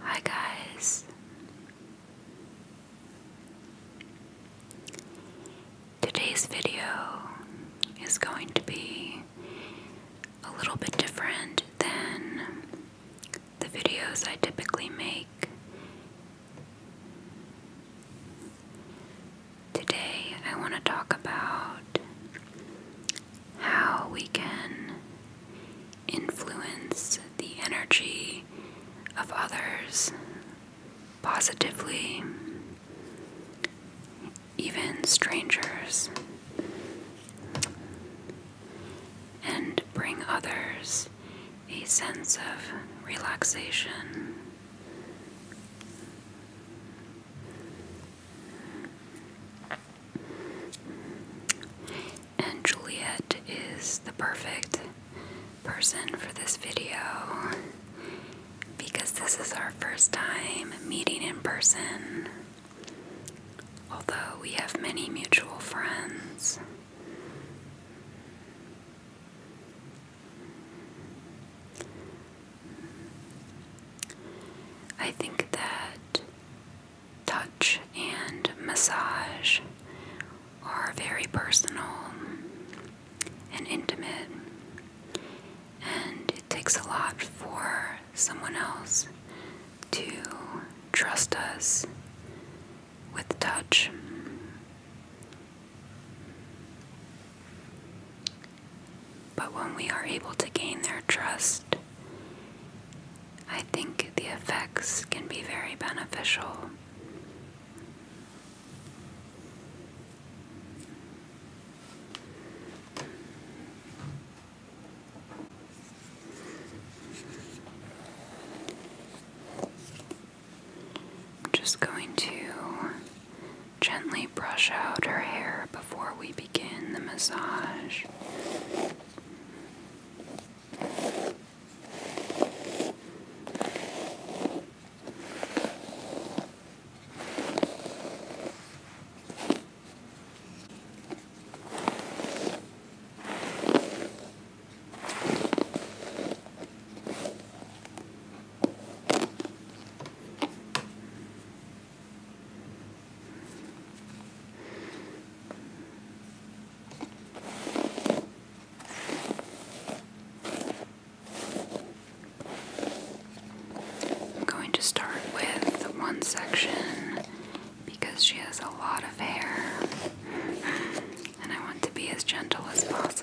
Hi, guys. Today's video is going to be a little bit different than the videos I typically make Today, I want to talk about how we can influence the energy of others positively, even strangers, and bring others a sense of relaxation. And Juliet is the perfect person for this video because this is our first time meeting in person. Although we have many mutual friends, I think that touch and massage are very personal and intimate, and it takes a lot for someone else to trust us with touch. But when we are able to gain their trust, I think the effects can be very beneficial just going to gently brush out her hair before we begin the massage. I'm going to start with one section because she has a lot of hair and I want to be as gentle as possible.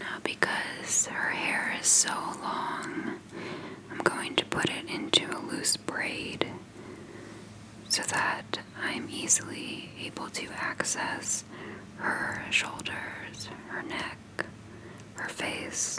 Now, because her hair is so long, I'm going to put it into a loose braid so that I'm easily able to access her shoulders, her neck, her face.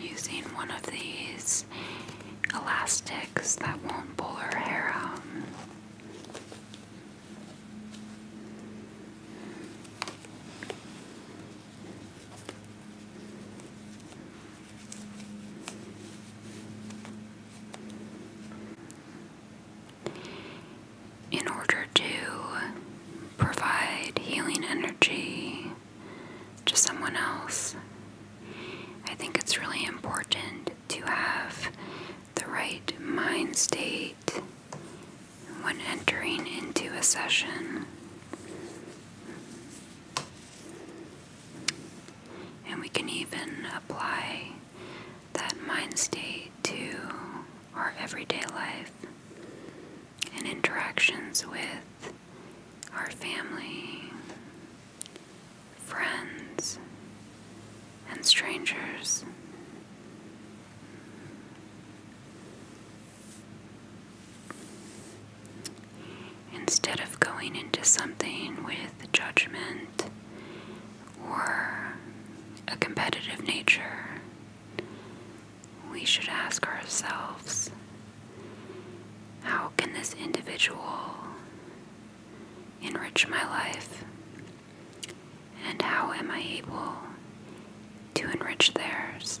using one of these elastics that won't pull her hair out. In order to provide healing energy to someone else. I think it's really important to have the right mind state when entering into a session. And we can even apply that mind state to our everyday life and interactions with our family, friends, and strangers. Instead of going into something with judgment or a competitive nature, we should ask ourselves how can this individual enrich my life? And how am I able to enrich theirs?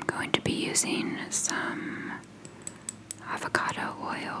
I'm going to be using some avocado oil.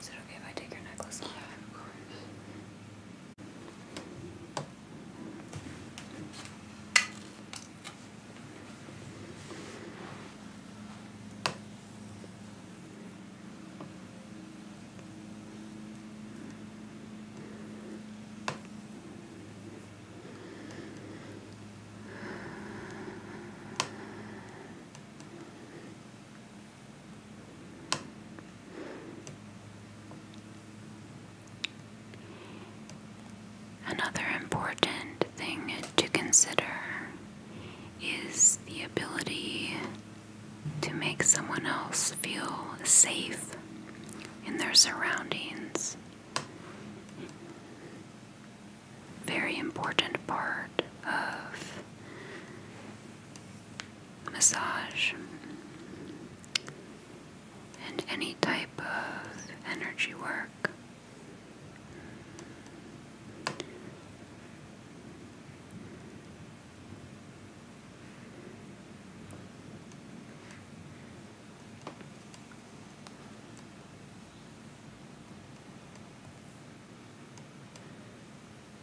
Is it okay if I take your necklace off? Yeah, of course. Another important thing to consider is the ability to make someone else feel safe in their surroundings. Very important part of massage, and any type of energy work.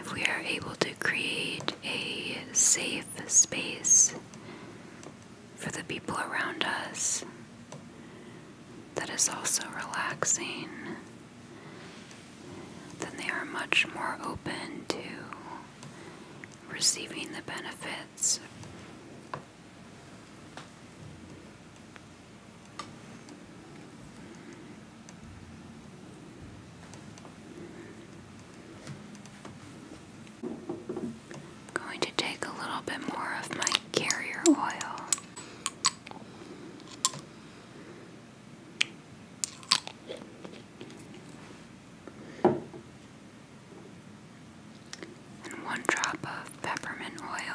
If we are able to create a safe space for the people around us, that is also relaxing, then they are much more open to receiving the benefits. going to take a little bit more of my carrier oil and one drop of peppermint oil.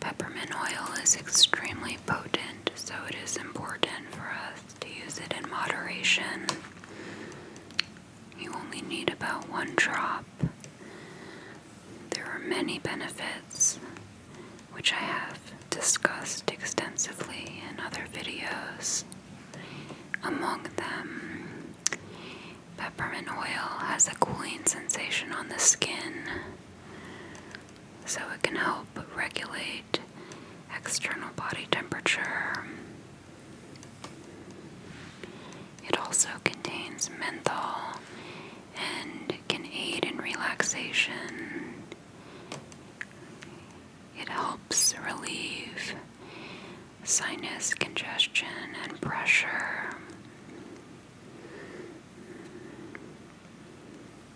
Peppermint oil is extremely potent, so it is important for us to use it in moderation. You only need about one drop. There are many benefits, which I have discussed extensively in other videos. Among them, peppermint oil has a cooling sensation on the skin, so it can help but regulate external body temperature. It also contains menthol and can aid in relaxation. It helps relieve sinus congestion and pressure.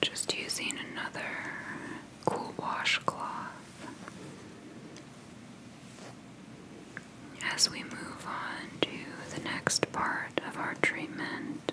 Just using another cool washcloth as we move on to the next part of our treatment.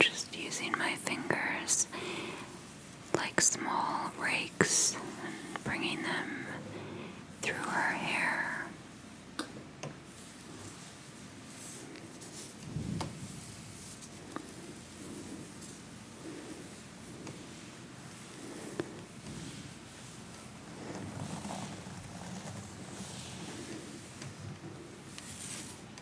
Just using my fingers like small rakes and bringing them through her hair.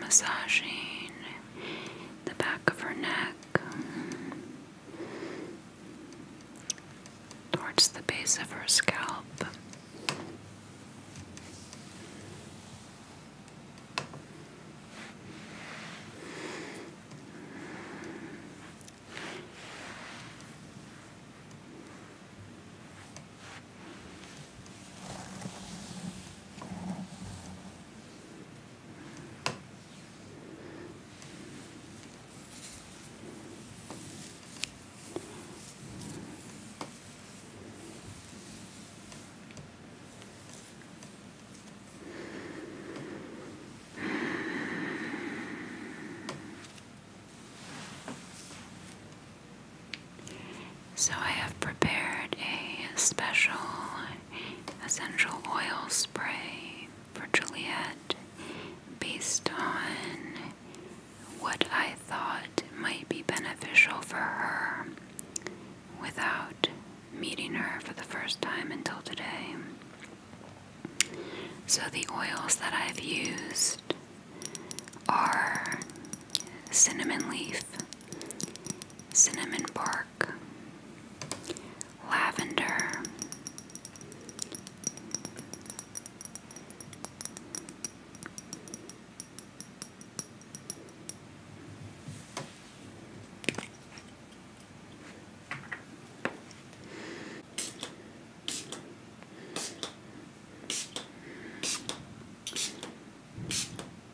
Massaging the back of her neck, um, towards the base of her scalp. So, I have prepared a special essential oil spray for Juliet based on what I thought might be beneficial for her without meeting her for the first time until today. So, the oils that I've used are cinnamon leaf cinnamon bark, lavender,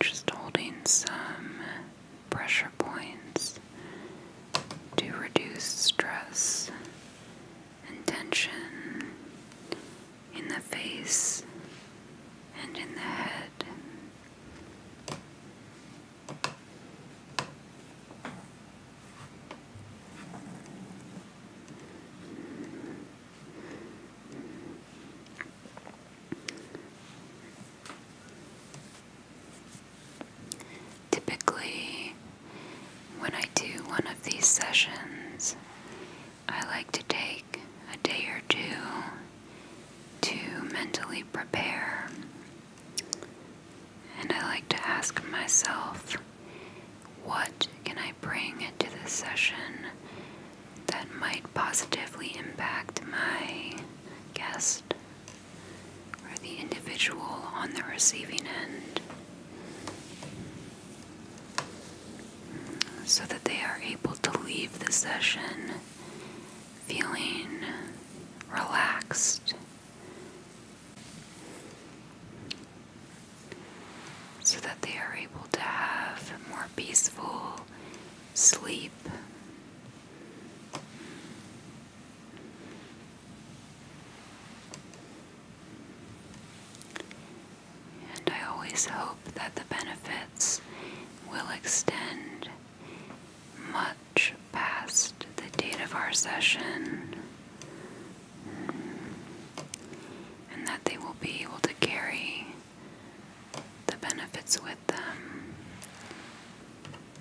Just holding some pressure points to reduce stress and tension in the face and in the head. Typically, when I do one of these sessions, I like to take a day or two to mentally prepare. And I like to ask myself, what can I bring to this session that might positively impact my guest? or the individual on the receiving end so that they are able to leave the session feeling relaxed. So that they are able to have more peaceful sleep and I always hope that the benefits will extend much past the date of our session and that they will be able to carry the benefits with them.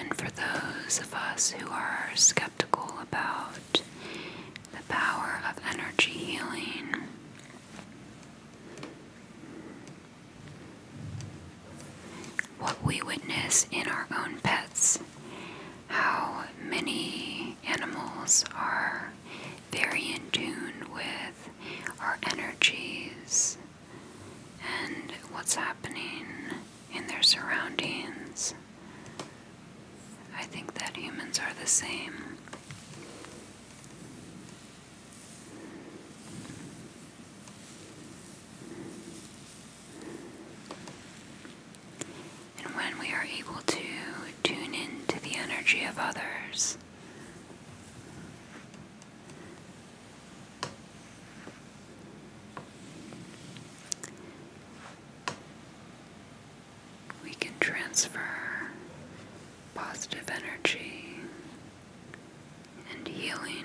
And for those of us who are skeptical about the power of energy healing, what we witness in our own pets how many animals are very in tune with our energies and what's happening in their surroundings. I think that humans are the same and when we are able to tune into the energy of others. We can transfer positive energy and healing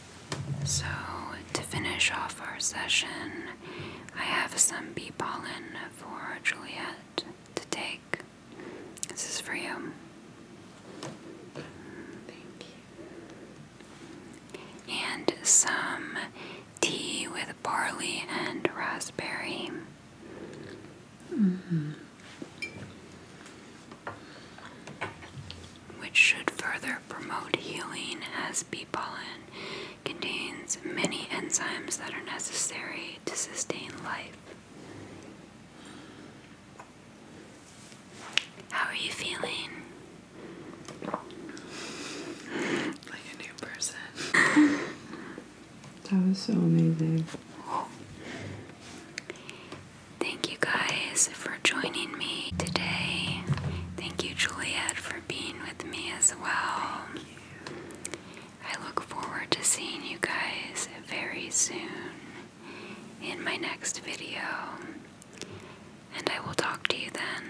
So, to finish off our session, I have some bee pollen for Juliet to take. This is for you. Thank you. And some tea with barley and raspberry. Mm-hmm which should further promote healing, as bee pollen contains many enzymes that are necessary to sustain life. How are you feeling? Like a new person. that was so amazing. Thank you guys for joining me today. Thank you, Juliet, for being with me as well. I look forward to seeing you guys very soon in my next video, and I will talk to you then.